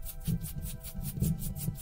I hope you like this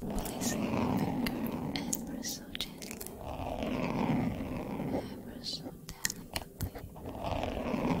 Placing the finger ever so gently, ever so delicately. On your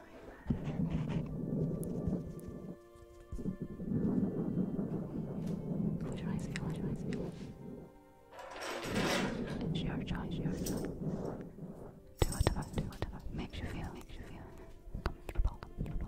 Close your eyes, close your eyes. It's your Do whatever, do whatever. Makes you feel, makes you feel comfortable,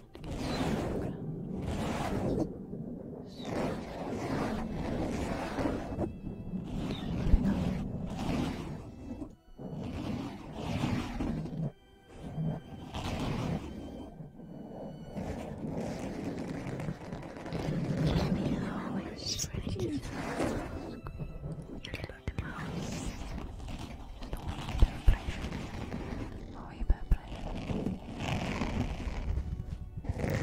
You're like a mouse. You don't want to Oj, bebler. It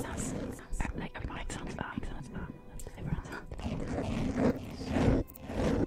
sounds, it sounds, like everyone sounds bad, sounds bad. Everyone sounds bad.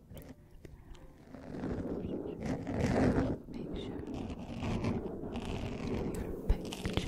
Make sure your picture Blink, blink, blink.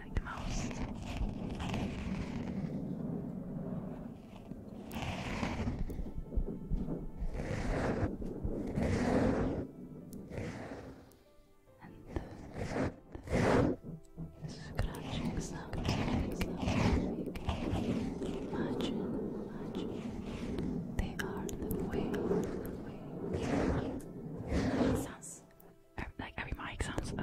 you And the scratching sound Imagine, imagine. They are the way, sounds like every mic sounds uh,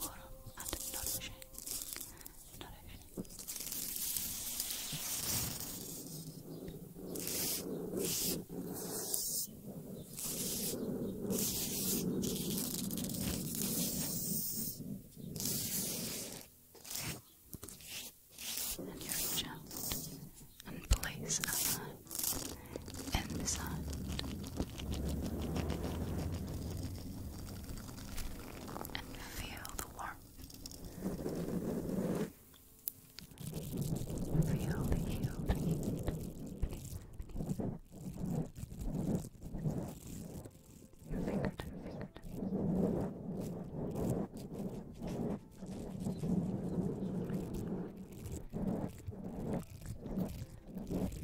warm and nourishing, nourishing. And you're reach out and place a hand and massage. And feel the warmth. Feel the heat. Your fingertips, fingertips.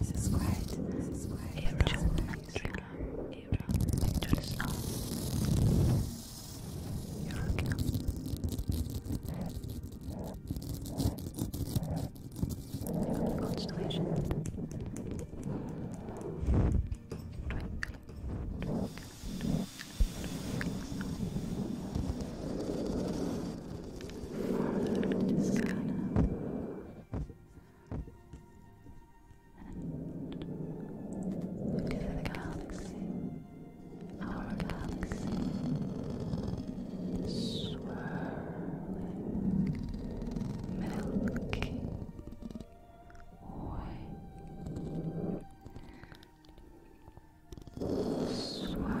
This is quite. This is quite. Era. Nigeria. Era. Constellation. And look at the galaxy. Our galaxy swirling, milky, white, swirling,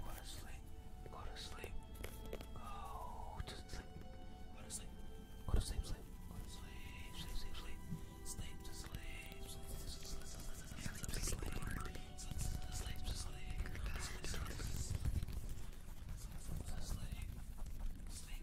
Go to sleep. Go to sleep. Go to sleep. Go to sleep. Go to sleep. Go to sleep. Sleep. Sleep. Sleep. Sleep to sleep. Sleep to sleep. Sleep to sleep. Sleep to sleep. Sleep to sleep. Sleep.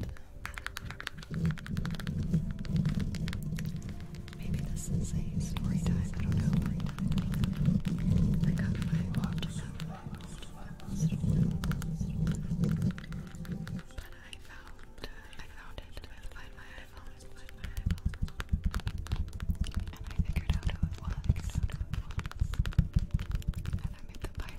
that. Maybe this is a story time. I don't know. I got my walk But I found uh, I found it with find my iPhone, find my iPhone. And I figured out who it was. And I made the pie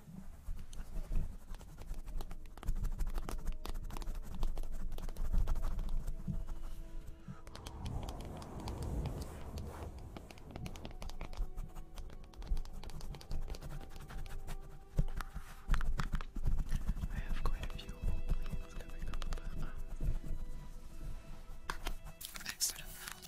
I have quite a few plans coming up, but um, I sort of held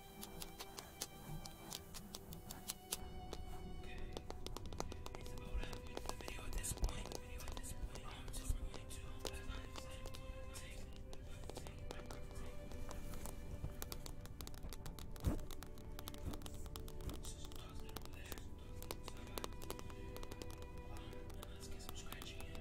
It's about having the video at this point. The video at this point. I'm just going to take take my microphone. Just toss it over there. So, um, let's get some scratching in.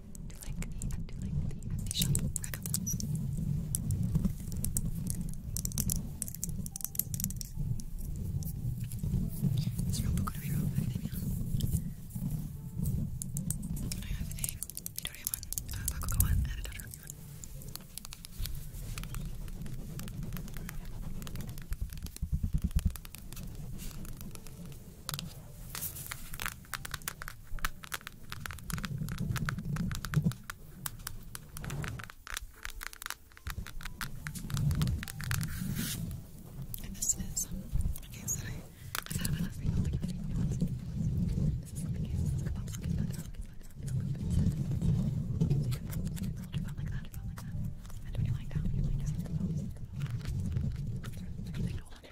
do like the, do like the, I do shop recommends. It's from Boku no Hero Academia. I have a Midoriyamon, uh, Bakugoan, and a Dodoromon. And this is um, a case that I, I got my last video. Like, this is like a case. It's like a pop socket. It's like a little bit set. So you can hold your phone like that, your phone like that. And when you lie down, you like just like a pop socket. It's a thing to hold on to.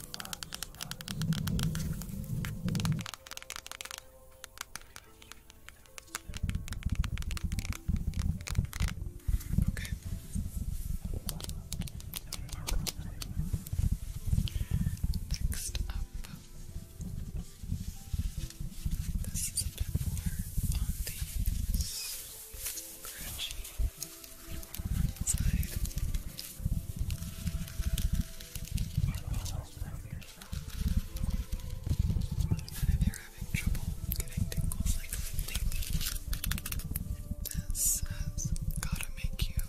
Okay. Next up, this is a bit more on the Crunchy if you're having trouble getting tingles like this has gotta make you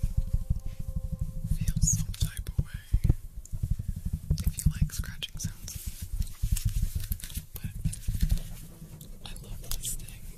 feel some type of way if you like scratching sounds. But I love this thing.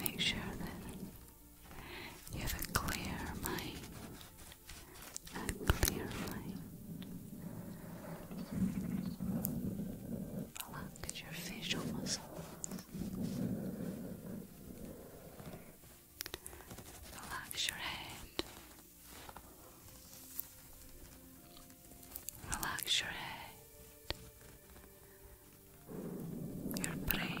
Make sure that you have a clear mind. A clear mind. Relax your facial muscles. Relax your head. Relax your head your brain.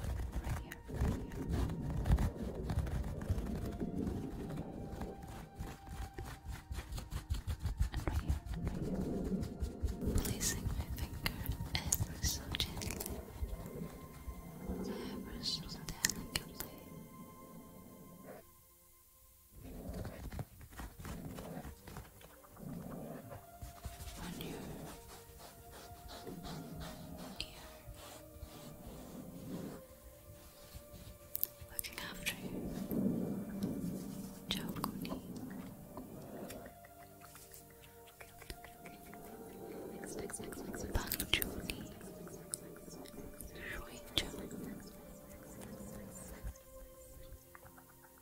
Right here, Placing my finger so gently, ever so delicately on your ear, looking after you, Joe Next, next, next, next, next,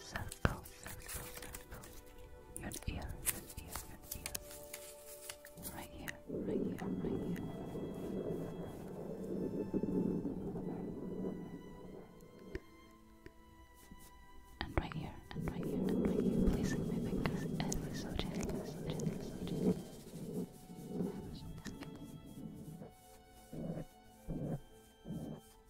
circle, circle, circle. Your ear, your ear, your ear. Right here, right here, right here. And right here, and right here, and right here. Placing my fingers every so gently, so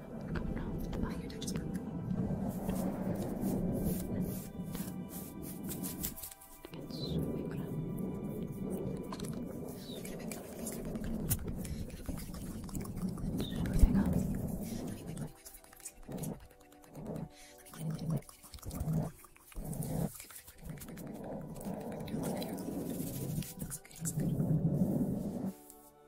No, oh, your touch broke. Okay,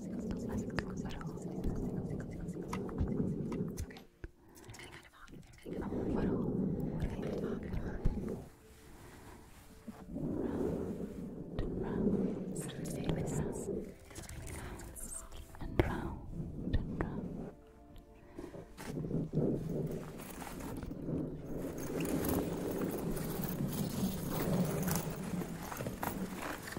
and round and round. Round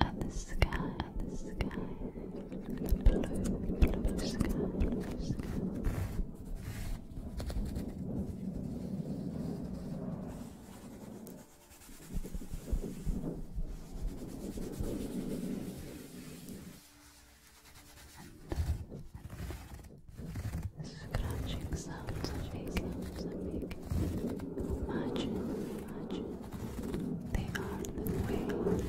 at the sky, at the sky, blue, blue sky, blue sky. Imagine, imagine they are the way the way. The way,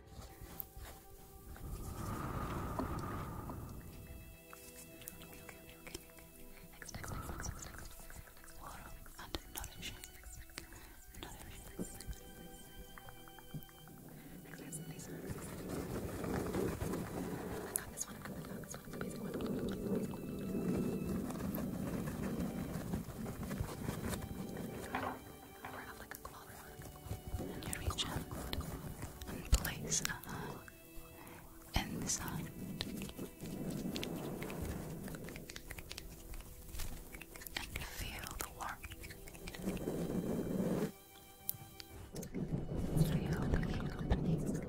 next, next, next, next, next. Warm and nourishing. Nourishing. Next, next, next. I got this one, I got the dog, this one, the basic one, the basic one, the basic one. We're and reach out and place a uh, inside. And feel the warmth. Feel the warmth.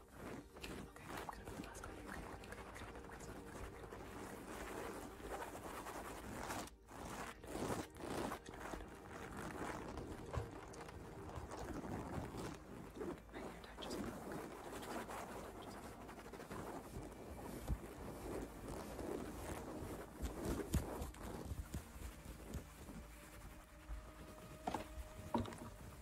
Okay, I'm gonna do the last one. Okay, okay, okay, okay, My hair tie just broke. Okay, just broke. Okay,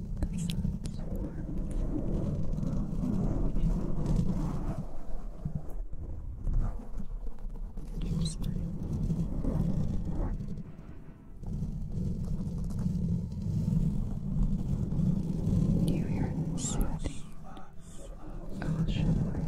the sun's warmth. It's time. Do you hear the soothing ocean waves?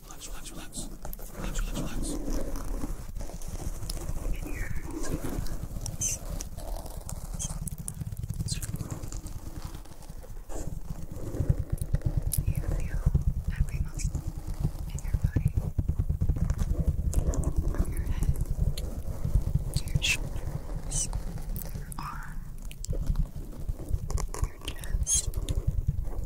Relax, relax, relax. Relax, relax, relax. You feel every muscle in your body. From your head to your shoulders, your arm, your chest,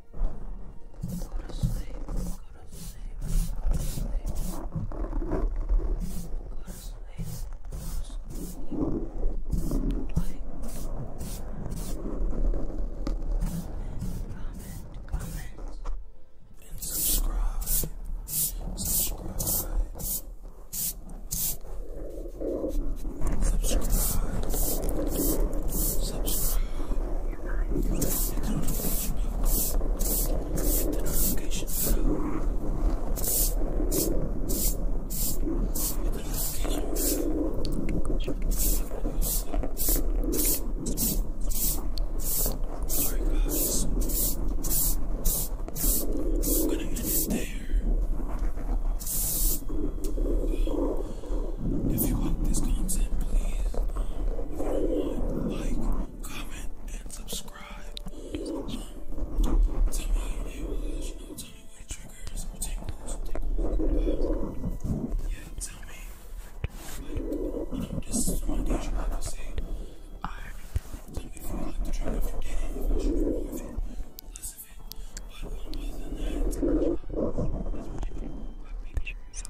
Go to sleep. Go to sleep. Go to sleep. Go to sleep. Go to sleep. Like, comment, comment, and subscribe. Subscribe. Subscribe. Subscribe your eyes. Hit the notification bell. Hit the notification bell. Alright, guys. I'm gonna end it there. Um, if you like this content, please, like, comment, and subscribe. tell me it was, you know, tell me what triggers or tingles, tingles. Um, yeah, tell me, like, you know, this is my day job, I say. I, tell me if you like the drug, if you did it, if should do more of it, less of it. But um, other than that, that's my baby. My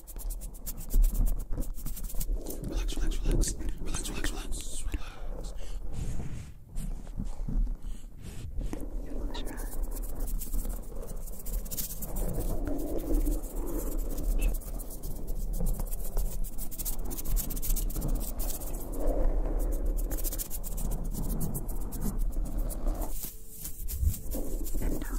Relax, relax, relax. Relax, relax, relax. Relax. Close your eyes. And down.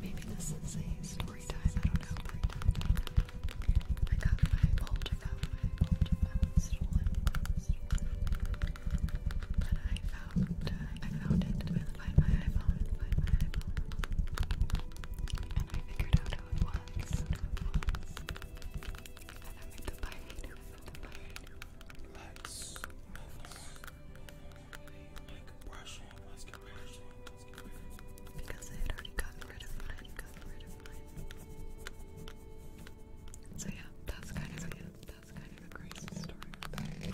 Maybe this is a story time, I don't know. I got my Poltergeist, I got my Poltergeist stolen, stolen. But I found, uh, I found it. I find my iPhone, find my and I figured out who it was. And I made the pirate. Because I had already Gotten rid of mine. So yeah, that's kind of a, that's kind of a crazy story Now I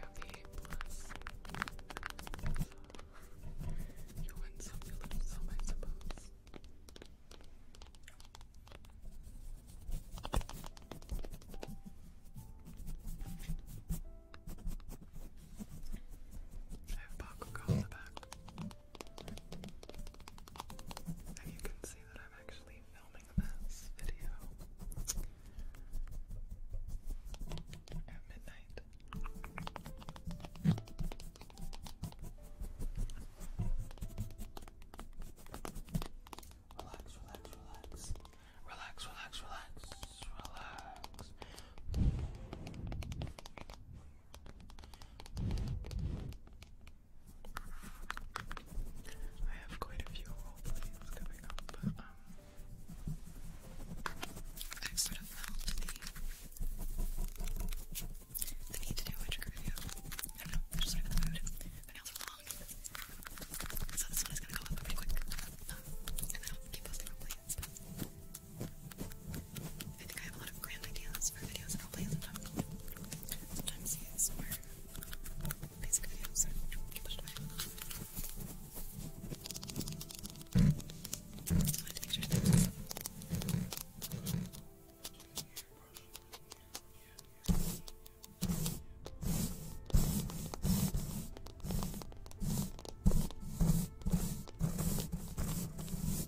have the plus. You win some, lose some, I suppose. I have Bakugo on the back. And you can see that I'm actually filming this video at midnight. Relax, relax, relax. Relax, relax, relax, relax. I have quite a few role plays coming up, but um, I sort of felt the, need to do a trigger video. I don't know, just sort the mood. My nails are long, so this one is gonna go up pretty quick. Um, and then keep posting role plays, I think I have a lot of grand ideas for videos that I'll play sometimes. Sometimes it's more basic videos, so I put it away. So I wanted to make sure that was I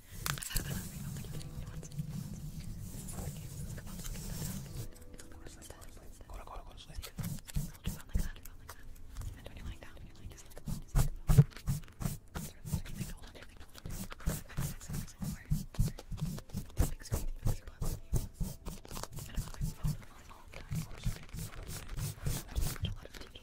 thought about nothing. I'm like, okay, you know what? Okay, come on, let's get that out. Let's get that out. Go to, go to, go to sleep. I'll just sound like that, sound like that. And when you lying down, when you're lying down, just come on, just come on. Everything, hold on, everything, hold on. Five, six, six, six, four. This big screen, this big screen. I don't know, my phone is on all the time. I watch a lot of TV.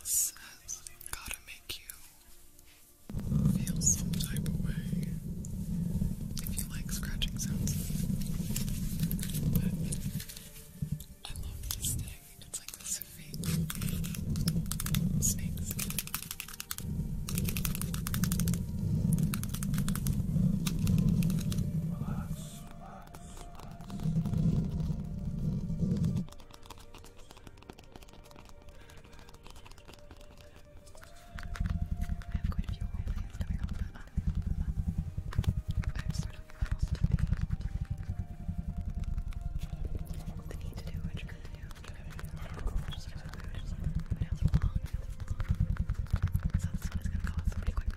This has gotta make you feel some type of way if you like scratching sounds. I love this thing. It's like this fake snake I have quite a few old coming up, but I'm sort of lost to the need to do what you're gonna do. just really weird. It's long, it's long. So this one is gonna go out pretty quick, pretty quick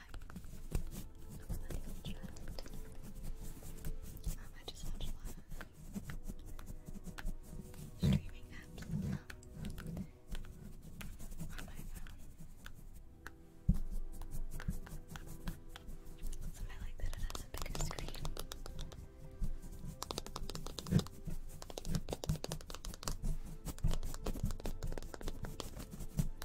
cycles of I just watch a streaming apps on my phone. I like that it has a bigger screen.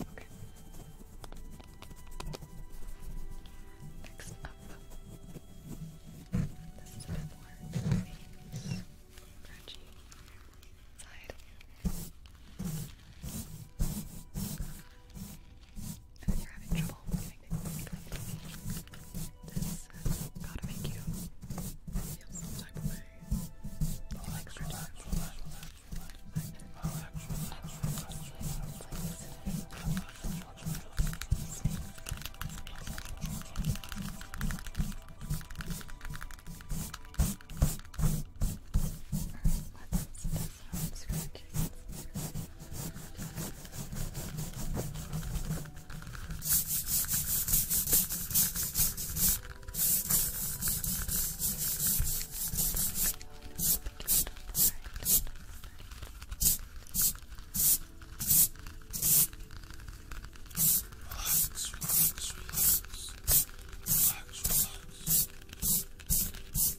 Okay. Next up, this is a bit more crunchy side and you're having trouble getting things done, this has uh, gotta make you feel some type of way. Relax, relax, relax, relax. Relax, relax, relax, Alright, let's sound scratching. Relax, relax, relax. Relax, relax.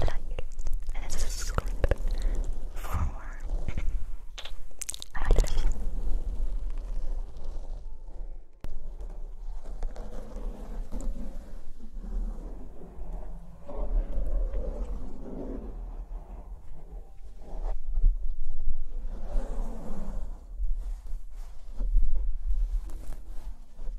like and subscribe for more. I love you.